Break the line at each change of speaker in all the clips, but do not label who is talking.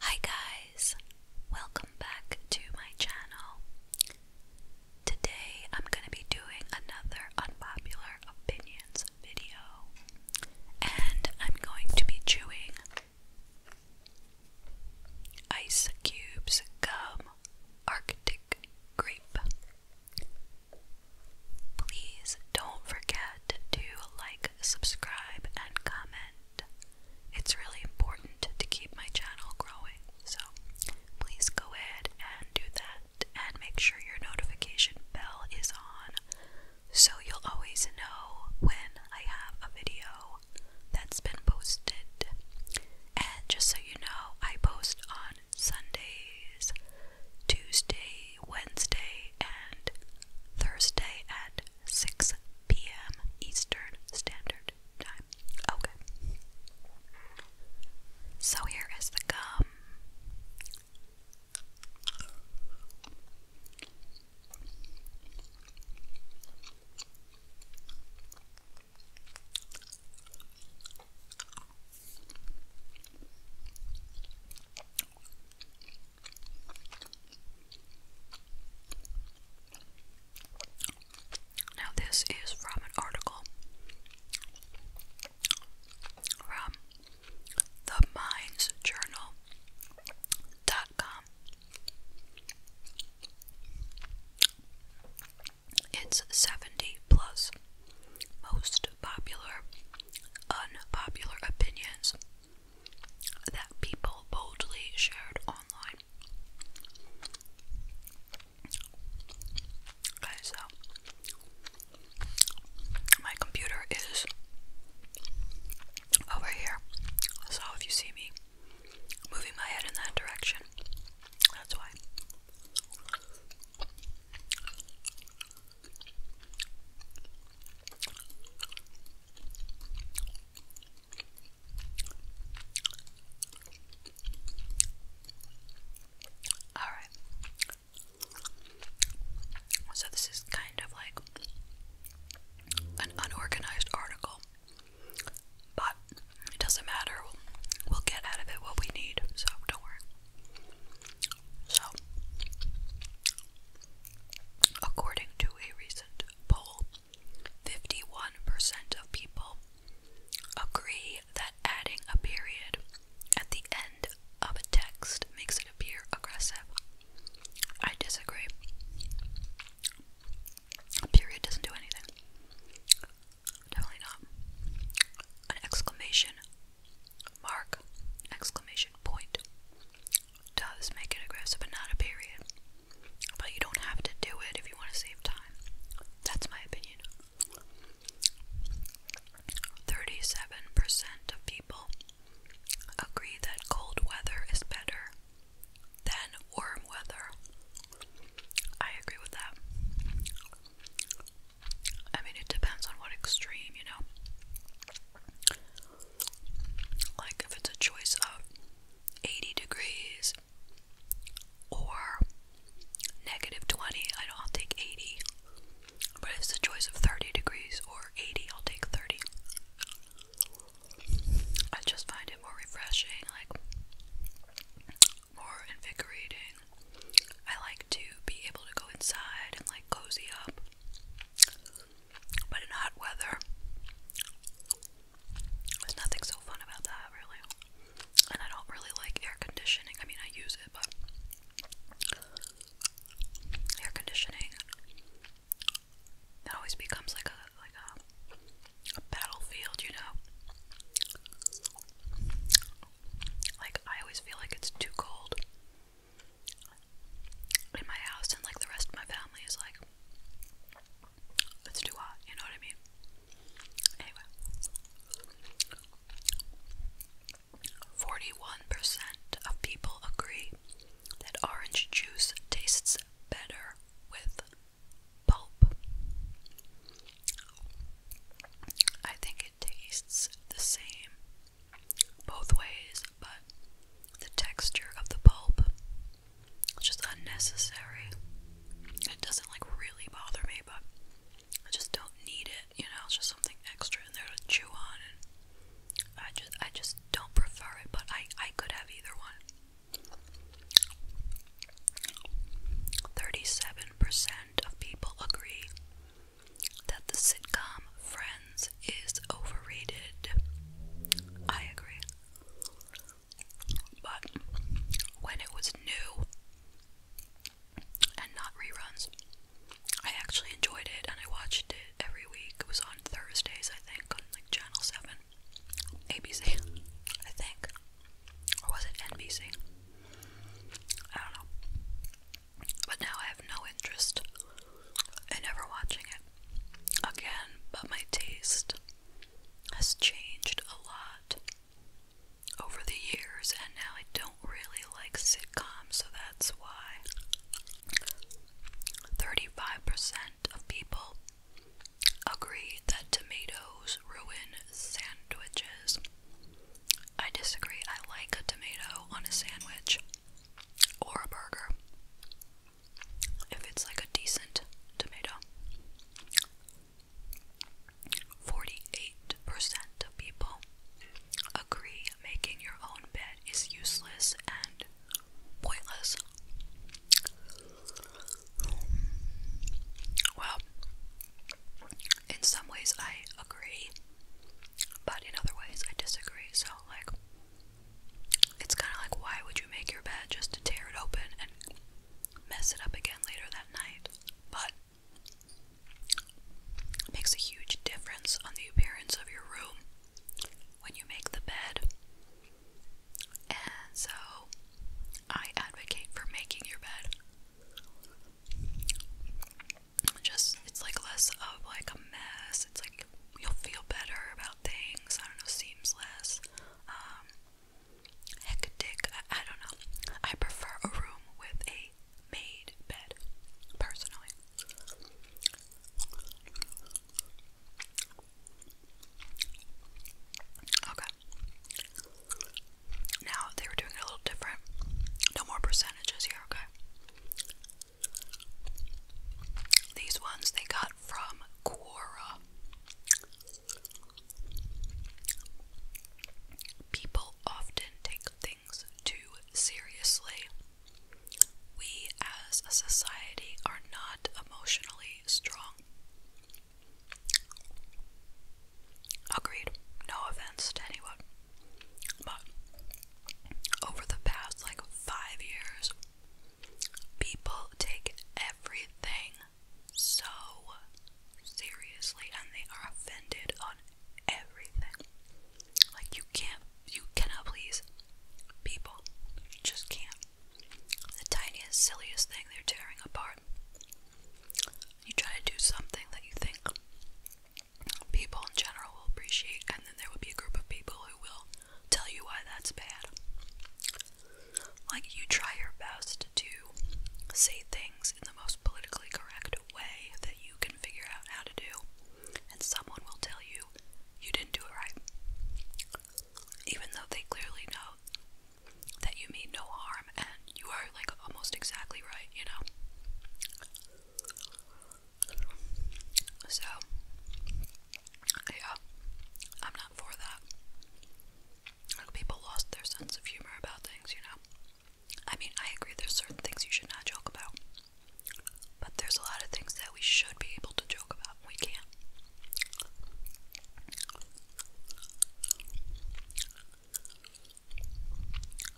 Hi guys, welcome back to my channel. Today I'm going to be doing another unpopular opinions video, and I'm going to be chewing ice cubes gum arctic grape Please don't forget to like, subscribe, and comment. It's really important to keep my channel growing, so please go ahead and do that and make sure your notification bell is on so you'll always know when I have a video that's been posted. And just so you know, I post on Sundays. Tuesday, Wednesday, and Thursday at 6 p.m. Eastern Standard Time. Okay. So here is the gum. Now, this is from an article from the mindsjournal.com. It's 70 plus. Most popular, unpopular opinions that people boldly shared online. Okay, so my computer is over here. So if you see me moving my head in that direction, that's why. All right. So this is kind of like an unorganized article, but it doesn't matter. We'll, get out of it what we need, so don't worry. So, according to a recent poll, 51% of people agree that adding a period at the end of a text makes it appear aggressive. I disagree. A period doesn't do anything. Definitely not. An exclamation mark, exclamation point does make it aggressive, but not a period. But you don't have to do it if you want to save time. That's my opinion. 37% of people agree that cold weather is better than warm weather. I agree with that. I mean, it depends on what extreme, you know. Like, if it's a choice of 80 degrees or negative 20, I don't. I'll take 80. But if it's a choice of 30 degrees or 80, I'll take 30. I just find it more refreshing. Like, more invigorating. I like to be able to go inside and like cozy up. But in hot weather, there's nothing so fun about that, really. And I don't really like air conditioning. I mean, I use it, but air conditioning it always becomes like a like a, battlefield, you know. Like, I always feel like it's too cold in my house, and like the rest of my family is like, it's too hot, you know what I mean? Anyway, 41% of people agree that orange juice tastes better with pulp. I think tastes the same both ways, but the texture of the pulp is just unnecessary. It doesn't like really bother me, but I just don't need it. You know, it's just something extra in there to chew on, I just I just don't prefer it. But I I could have either one. 37% of people agree that the sitcom Friends is overrated. I agree. But when it was new and not reruns, I actually enjoyed it and I watched it every week. It was on Thursdays, I think, on like Channel 7, ABC, I think. Or was it NBC? I don't know. But now I have no interest in ever watching it again, but my taste has changed a lot over the years, and now I don't really like sitcoms, so that's why 35% of people agree that tomatoes ruin sandwiches. I disagree. I like a tomato on a sandwich or a burger if it's like a decent tomato. 48% of people agree making your own bed is useless and pointless. Well, in some ways I agree, but in other ways I disagree. So, like, it's kind of like, why would you make your bed just to tear it open and mess it up again later that night? But it makes a huge difference on the appearance of your room when you make the bed. And so, I advocate for making your bed just it's like less of like a mess. It's like you'll feel better about things. I don't know, seems less um hectic. I don't know. I prefer a room with a made bed personally. Okay. Now they were doing it a little different. No more percentages here, okay? These ones they got from Quora. People often take things too seriously. We as a society are not emotionally strong. Agreed. No offense to anyone. But over the past like five years, people take everything so seriously and they are offended on everything. Like you can't, you cannot please people. You just can't. The tiniest, silliest thing they're tearing apart. You try to do something that you think people in general will appreciate, and then there will be a group of people who will tell you why that's bad. Like, you try your best to say things in the most politically correct way that you can figure out how to do, and someone will tell you you didn't do it right. Even though they clearly know that you mean no harm arm, and you are like almost exactly right, you know. So, yeah, I'm not for that. Like, people lost their sense of humor about things, you know. I mean, I agree there's certain things you should not joke about, but there's a lot of things that we should be able to joke about, and we can't.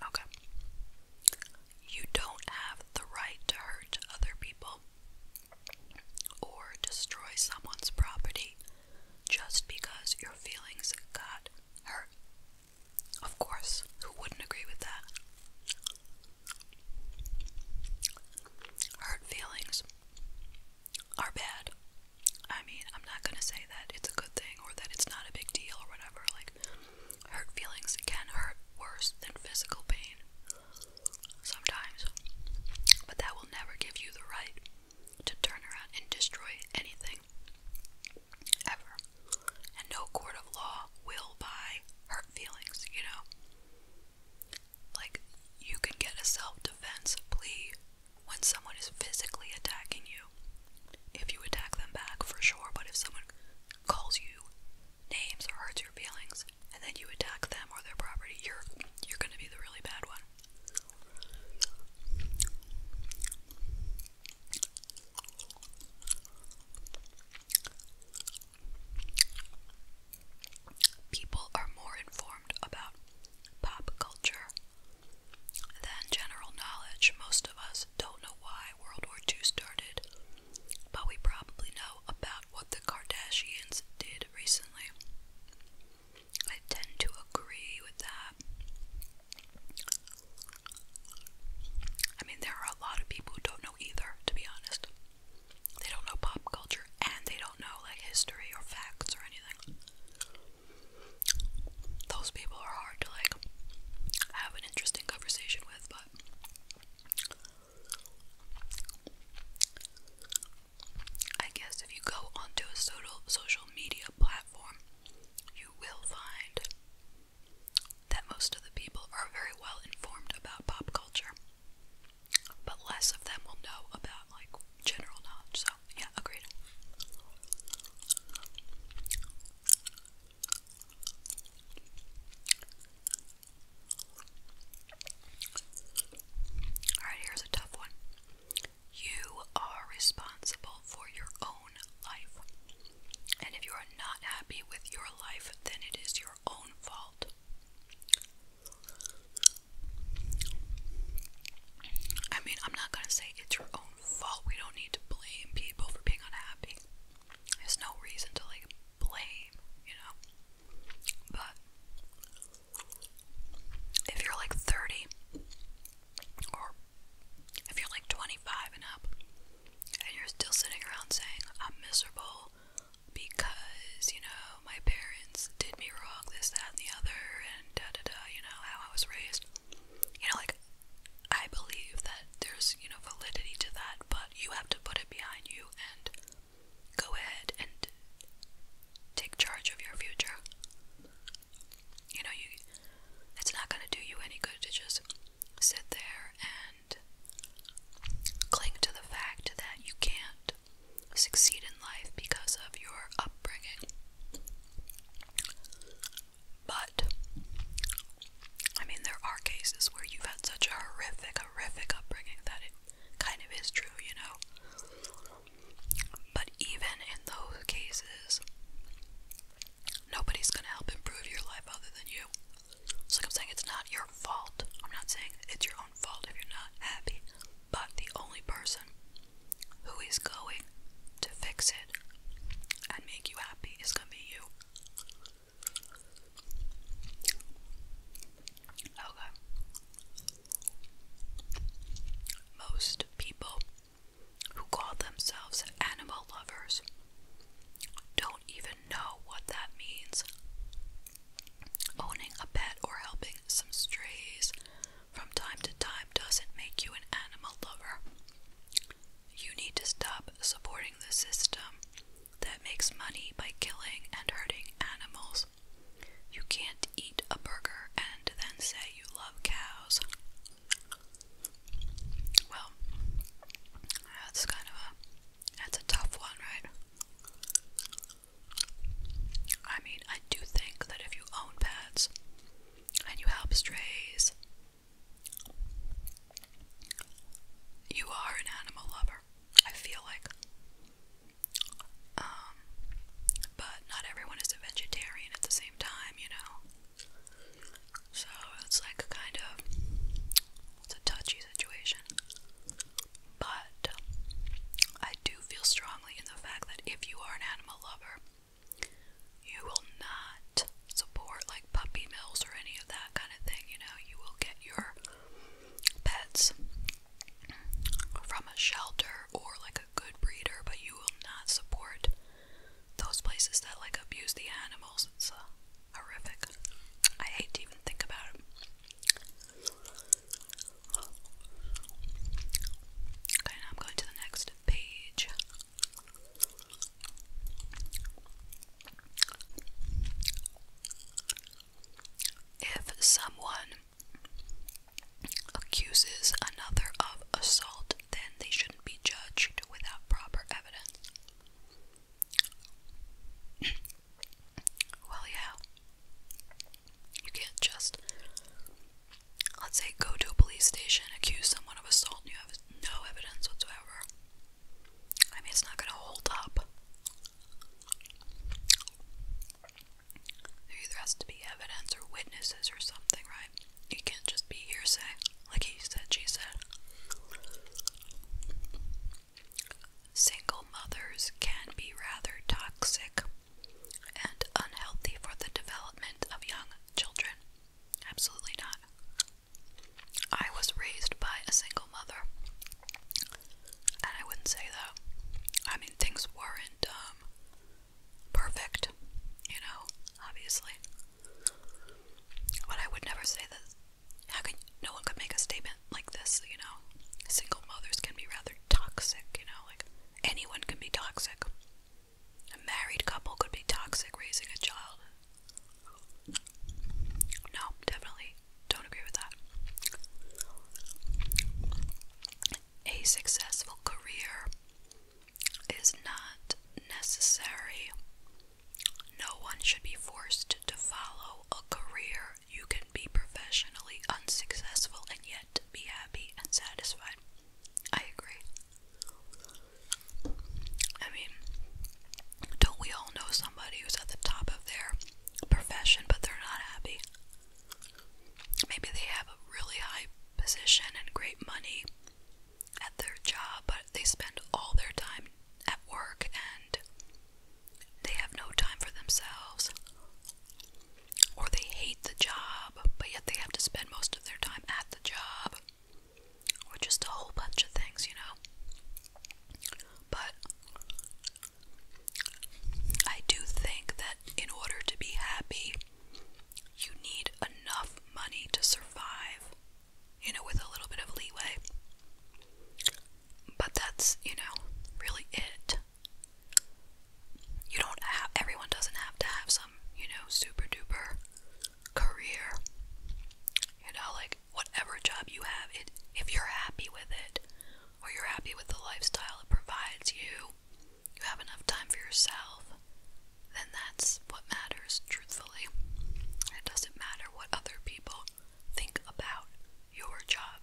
Okay. You don't have the right to hurt other people or destroy someone's property just because your feelings got hurt. Of course, who wouldn't agree with that? Hurt feelings are bad. I mean, I'm not gonna say that it's a good thing or that it's not a big deal or whatever. Like, hurt feelings can hurt worse than physical pain sometimes, but that will never give you the right to turn around and destroy anything ever. And no court of law will buy hurt feelings, you know? Like, you can get a self defense plea when someone is physically attacking you if you attack them back for sure, but if someone calls you names or hurts your feelings and then you attack them or their property, you're you're gonna be the really bad one. People are more informed about pop culture than general knowledge. Most of us don't know why World War II started, but we probably know about what the Kardashians did recently. I tend to agree with that. I mean, there are a lot of people who don't know either, to be honest. They don't know pop culture and they don't know like history or facts or anything those people are hard to like have an interesting conversation with, but I guess if you go onto a social media platform, you will find that most of the people are very well informed about pop culture, but less of them will know about like general knowledge. So yeah, agreed. Alright, here's a tough one. You are responsible for your own life. And if you are not happy with your life, then it is your own fault. I mean, I'm not going to say it's your own fault. We don't need to blame people for being unhappy. There's no reason to like blame, you know. But if you're like 30 or if you're like 25 and up and you're still sitting around saying I'm miserable because, you know, my parents did me wrong, this, that, and the other, and da da da, you know, how I was raised, you know, like I believe that there's, you know, validity to that, but you have to put it behind you and go ahead and take charge of your future. You know, you it's not going to do you any good to just sit there and cling to the fact that you can't succeed in life because of your upbringing. But, I mean, there are cases where you've had such a horrific, horrific upbringing that it kind of is true, you know? But even in those cases, nobody's gonna help improve your life other than you. So, like I'm saying, it's not your fault. I'm not saying it's your own fault if you're not happy, but the only person who is going to fix it it and make you happy is gonna be you. Okay. Most people who call themselves animal lovers don't even know what that means. Owning a pet or helping some strays from time to time doesn't make you an animal lover. You need to stop supporting the system that makes money by killing and hurting animals. You can't eat a burger and then say you love cows. Well, that's kind of a that's a tough one, right? I mean, I do think that if you own pets and you help strays you are an animal lover, I feel like. Um, but not everyone is a vegetarian at the same time, you know? So it's like a kind of, it's a touchy situation. But I do feel strongly in the fact that if you are an animal lover, you will not support like puppy mills or any of that kind of thing. You know, you will get your pets from a shelter or like a good breeder, but you will not support those places that like abuse the animals. It's uh, horrific. I hate to even think about it. Okay, now I'm going to the next page. If someone accuses another of assault, then they shouldn't be judged without proper evidence. well, yeah. You can't just let's say go to a police station, accuse someone of assault, and you have no evidence whatsoever. I mean, it's not going to hold up. There has to be evidence or witnesses or something, right? It can't just be hearsay, like he said, she said. Single mothers can be rather toxic and unhealthy for the development of young children. Absolutely not. I was raised by a single mother. And I wouldn't say that. I mean, things weren't um, perfect, you know, obviously. But I would never say that. How could no one could make a statement like this, you know? Single mothers can be rather toxic, you know, like anyone can be toxic. A married couple could be toxic raising a child. No, definitely don't agree with that. A successful career is not necessary. No one should be forced to follow a career. You can be professionally unsuccessful and yet be happy and satisfied. I agree. I mean, don't we all know somebody who's at the top of their profession but they're not happy? Maybe they have a really high position and great money at their job, but they spend all their time at work and they have no time for themselves. Or they hate the job, but yet they have to spend most of their time at the job or just a whole bunch of things, you know. But I do think that in order to be happy, you need enough money to survive, you know, with a little bit of leeway. But that's, you know, really it. You don't have, everyone doesn't have to have some, you know, super duper career. You know, like whatever job you have, it if you're happy with it or you're happy with the lifestyle it provides you, you have enough time for yourself, then that's what matters truthfully. It doesn't matter what other people think about your job.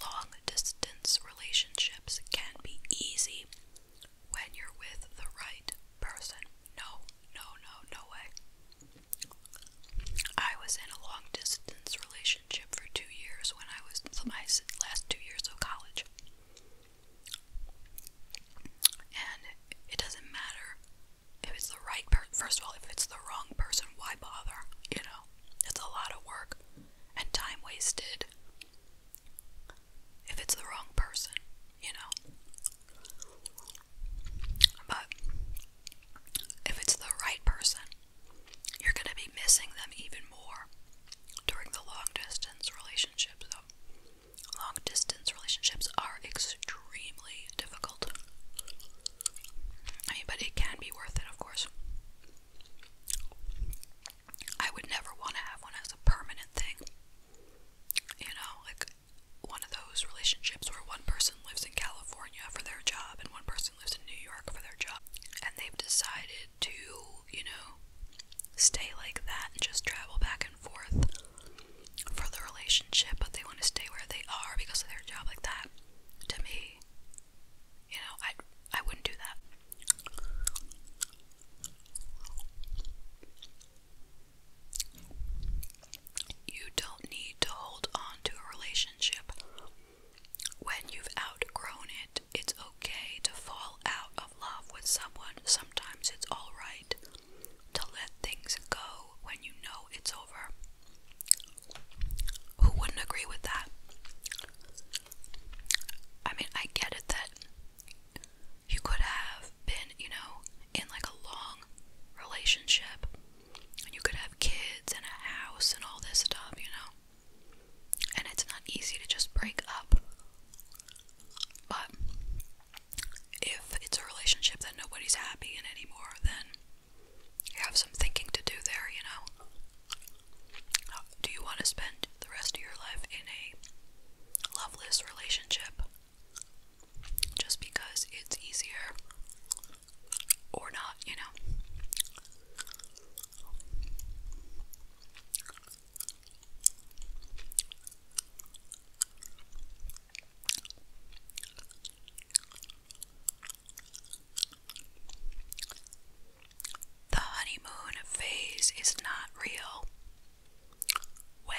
Long distance relationships can be easy when you're with the right person. No, no, no, no way. I was in a long distance relationship for two years when I was my last two years of college. And it doesn't matter if it's the right person. First of all, if it's the wrong person, why bother? You know, it's a lot of work and time wasted if it's the wrong person, you know. But if it's the right person, you're going to be missing them even more during the long distance relationship. So Long distance relationships are extremely difficult. but it can be worth it, of course. I would never want to have one as a permanent thing. You know, like one of those relationships where one person lives in California for their job and one person lives in New York for their job. And they've decided to, you know, stay like that and just travel back and forth for the relationship, but they want to stay where they are because of their job like that. To me, you know, I I wouldn't do that. You don't need to hold on to a relationship when you've outgrown it. It's okay to fall out of love with someone. Sometimes it's all right to let things go when you know it's over. Who wouldn't agree with that? I mean, I get it that you could have been, you know, in like a long relationship and you could have kids and a house and all this stuff, you know. And it's not easy to just break up. But if it's a relationship that nobody's happy in anymore, then you have some thinking to do there, you know? Do you want to spend the rest of your life in a loveless relationship just because it's easier or not, you know? The honeymoon phase is not real. When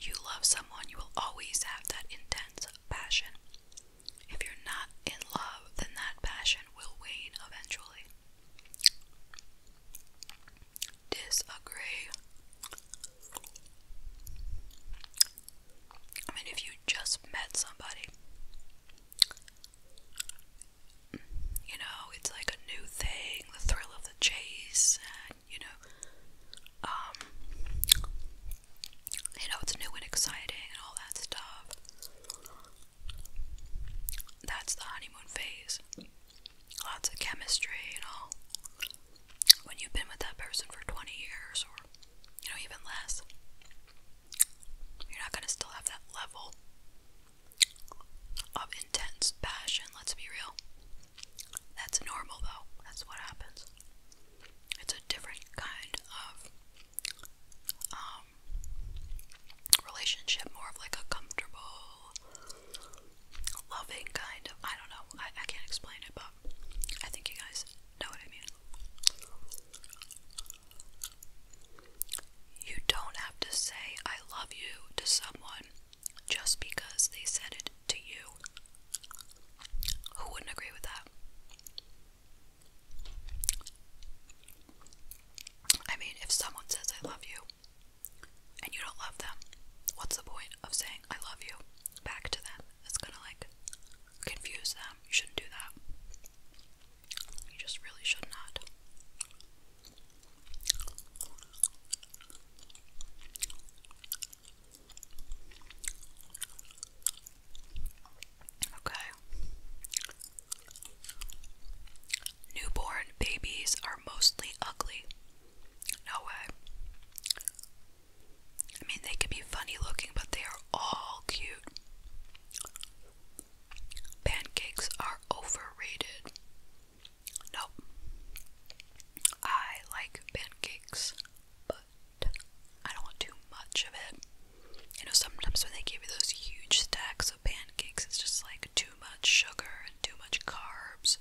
you love someone, you will always have that intense passion. If you're not in love, then that passion will wane eventually disagree. I mean, if you just met somebody, you know, it's like a new thing, the thrill of the chase, and you know, um, you know, it's new and exciting and all that stuff. That's the honeymoon phase lots of chemistry you know. When you've been with that person for 20 years or, you know, even less, you're not going to still have that level of intense passion, let's be real. That's normal though, that's what happens. It's a different kind of um, relationship, more of like a comfortable loving kind of. I don't know. I, I can't explain it, but I think you guys know what I mean. You don't have to say I love you to someone just because they said it to you. Who wouldn't agree with that? I mean, if someone says I love you, and you don't love them, what's the point of saying I love you back to them? It's gonna like confuse them. You shouldn't do that. You just really should not. Okay. Newborn babies are mostly ugly. No way. I mean, they can be funny looking, but they are all cute. Pancakes are overrated. Nope. I like pancakes, but I don't want too much of it. You know, sometimes when they give you those huge stacks of pancakes, it's just like too much sugar and too much carbs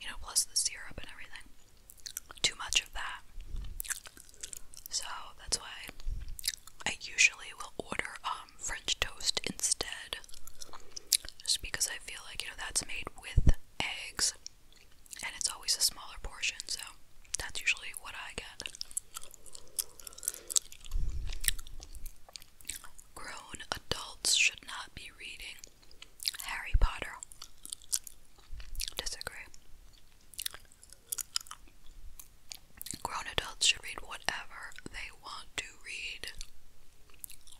you know, plus the syrup and everything. Too much of that. So that's why I usually will order um, French toast instead. Just because I feel like, you know, that's made with eggs and it's always a smaller portion, so that's usually what I get. Grown adults should not be reading Harry Potter. Disagree. Grown adults should read whatever they want to read.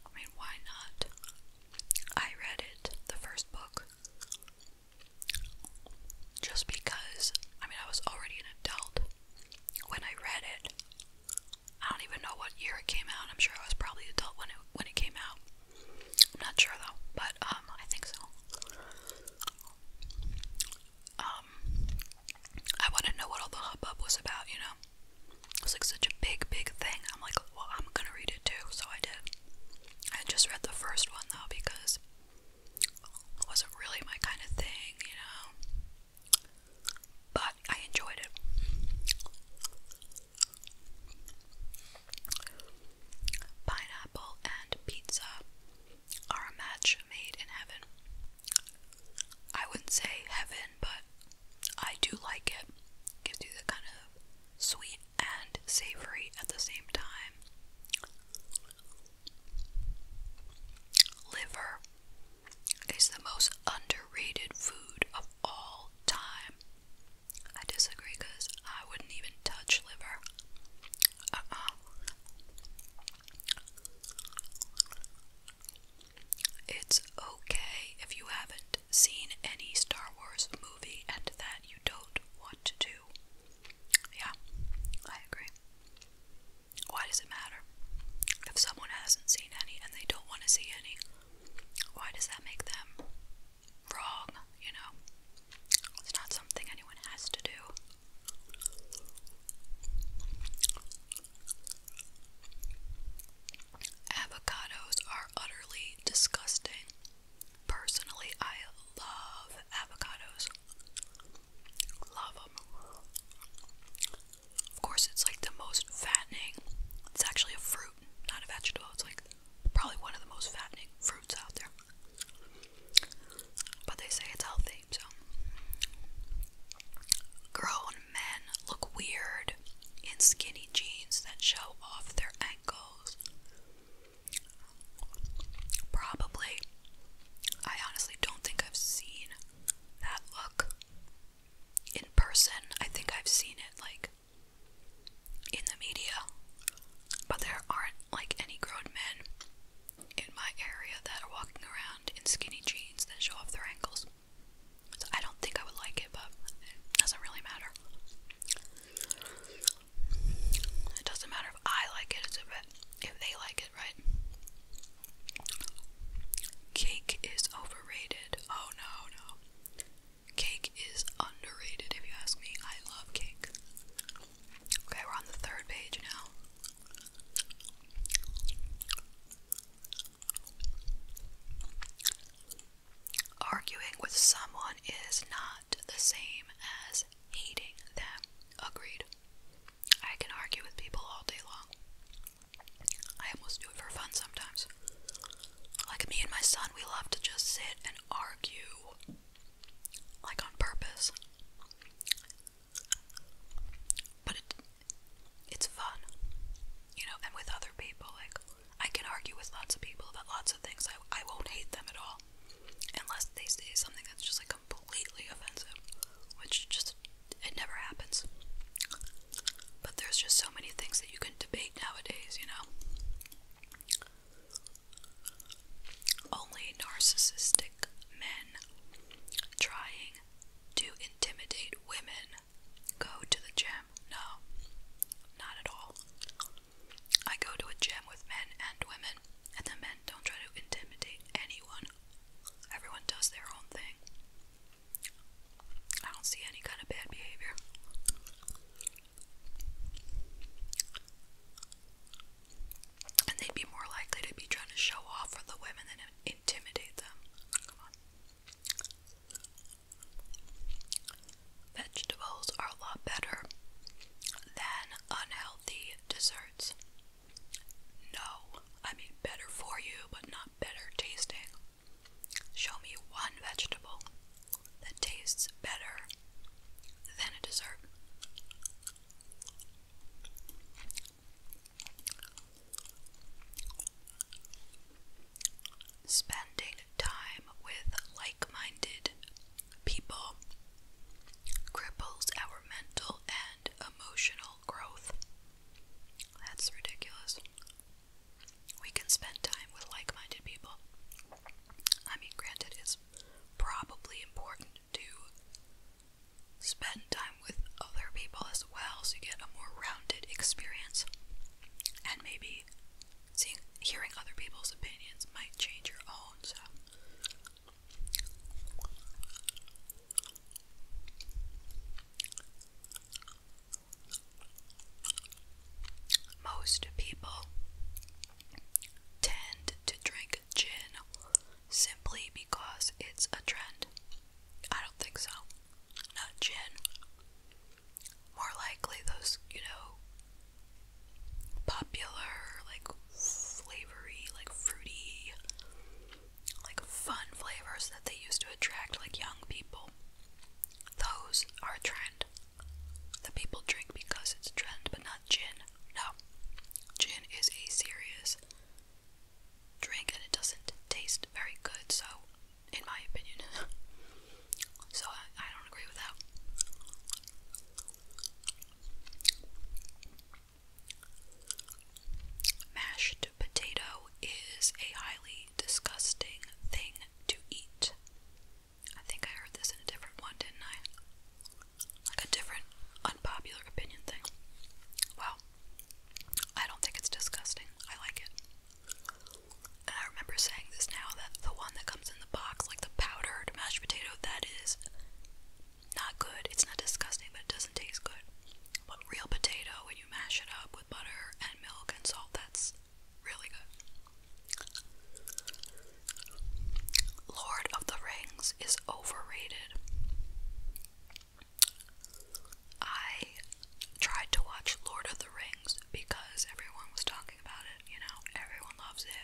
I mean, why not? I read it, the first book, just because, I mean, I was already an adult when I read it. I don't even know what year it came out. I'm sure I was probably adult when it when it came out. I'm not sure though, but um, I think so. Um, I want to know what all the hubbub was about, you know? It was like such a big, big thing. I'm like, well, I'm gonna read it too, so I did. I just read the first one though because it wasn't really my kind of thing, you know? But I enjoyed it. Pineapple and pizza are a match made in heaven. I wouldn't say heaven, but I do like it. Gives you the kind of sweet and savory at the same time. Liver is the most underrated food of all time. I disagree because I wouldn't even touch liver. Uh uh. It's okay if you haven't seen any Star Wars movie and that you don't want to do. Yeah, I agree. Why does it matter? If someone hasn't seen any and they don't want to see any, why does that make them wrong? You know, it's not something anyone has to do. Avocados are utterly disgusting. Personally, I love avocados. Love them. Of course, it's like the most fattening. It's actually a fruit, not a vegetable. It's like probably one of the most fattening fruits out there. But they say it's healthy, so. Grown men look weird in skinny jeans that show off their ankles. Probably. I honestly don't think I've seen that look in person. I think I've seen it like in the media, but there aren't like any grown men in my area that are walking around in skinny jeans that show off their ankles. I don't think I would like it, but it doesn't really matter. It doesn't matter if I like it, it's a if they like it, right? Cake is overrated. Oh no, no. Cake is underrated, if you ask me. I love cake. Okay, we're on the third page now. Arguing with someone is not the same as hating them. Agreed. I can argue with people all day long. I almost do it for fun sometimes. Like me and my son, we love to just sit and argue. Like on purpose. But it it's fun. You know, and with other people, like I can argue with lots of people about lots of things. I I won't hate them at all. Unless they say something that's just like completely offensive. Which just it never happens. But there's just so many things that you can debate nowadays, you know. Only narcissistic men trying to intimidate women go to the gym. No, not at all. I go to a gym with men and women, and the men don't try to intimidate anyone. Everyone does their own thing. I don't see any kind of bad behavior. And they'd be more likely to be trying to show off for the women than intimidate them. Vegetables are a lot better than unhealthy desserts. No, I mean better for you, but not better tasting. Show me one vegetable that tastes better than a dessert. Spending time with like minded people cripples our mental and emotional growth. That's ridiculous we can spend time with like minded people. I mean, granted, it's probably important to spend time with other people as well so you get a more rounded experience. And maybe hearing other people's opinions might change your own, so. Most people tend to drink gin simply because it's a trend. I don't think so. Not gin. More likely those, you know, popular, like flavory, like fruity, like fun flavors that they used to attract like young people. Those are a trend. The people drink because it's a trend, but not gin. No. Gin is a serious drink and it doesn't taste very good, so, in my opinion. so, I don't agree with that. Mashed potato is a highly disgusting thing to eat. I think I heard this in a different one, didn't I? Like a different unpopular opinion thing. Well, I don't think it's disgusting. I like it. And I remember saying this now that the one that comes in the box, like the powdered mashed potato, that is not good. It's not disgusting, but it doesn't taste good. But real potato, when you mash it up with butter and milk and salt, that's really good. Lord of the Rings is overrated. I tried to watch Lord of the Rings because everyone was talking about it, you know, everyone loves it,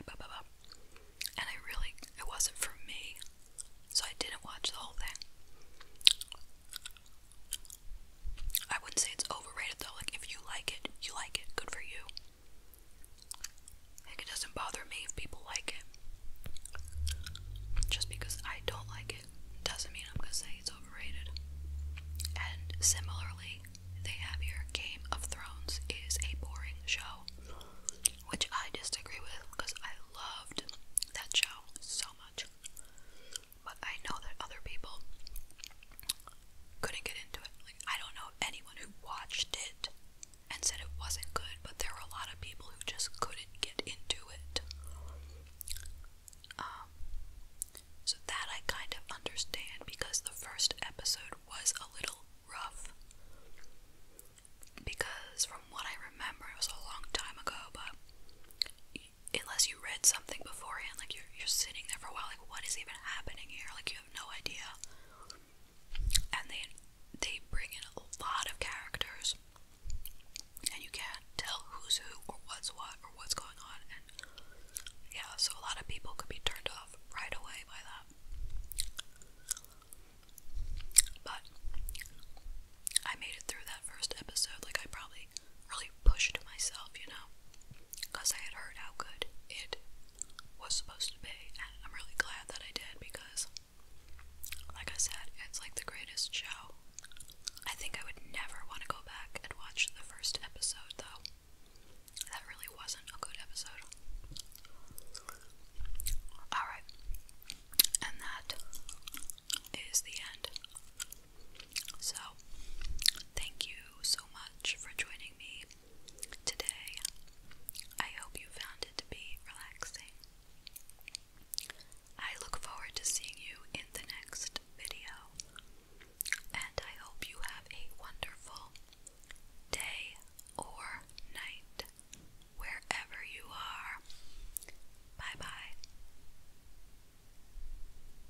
And I really, it wasn't for me, so I didn't watch the whole thing. I wouldn't say it's overrated though. Like if you like it, you like it. Good for you. Like it doesn't bother me people like it. Just because I don't like it doesn't mean I'm gonna say it's overrated. And similarly, they have your Game of Thrones is a boring show, which I disagree with because I loved that show so much. But I know that other people couldn't get into it. Like I don't know anyone who watched it and said it wasn't good, but there were a lot of people who just couldn't get into it. Um, so that I kind of understand because the first episode was a little rough. Because from what I remember, it was a long time ago, but unless you read something beforehand, like you're you're sitting there for a while, like what is even happening here? Like you have no idea. And they they bring in a lot of characters, and you can't tell who's who or what's what or what's going on. And yeah, so a lot of people could be turned off right away by that. But I made it through that first episode. Like I probably really pushed myself, you know because I had heard how good it was supposed to be, and I'm really glad that I did because, like I said, it's like the greatest show. I think I would never want to go back and watch the first episode, though. That really wasn't a good episode. Alright, and that is the end so, thank you so much for joining me today. I hope you found it to be relaxing. I look forward to seeing you in the next video, and I hope you have a wonderful day or night wherever you are. Bye bye.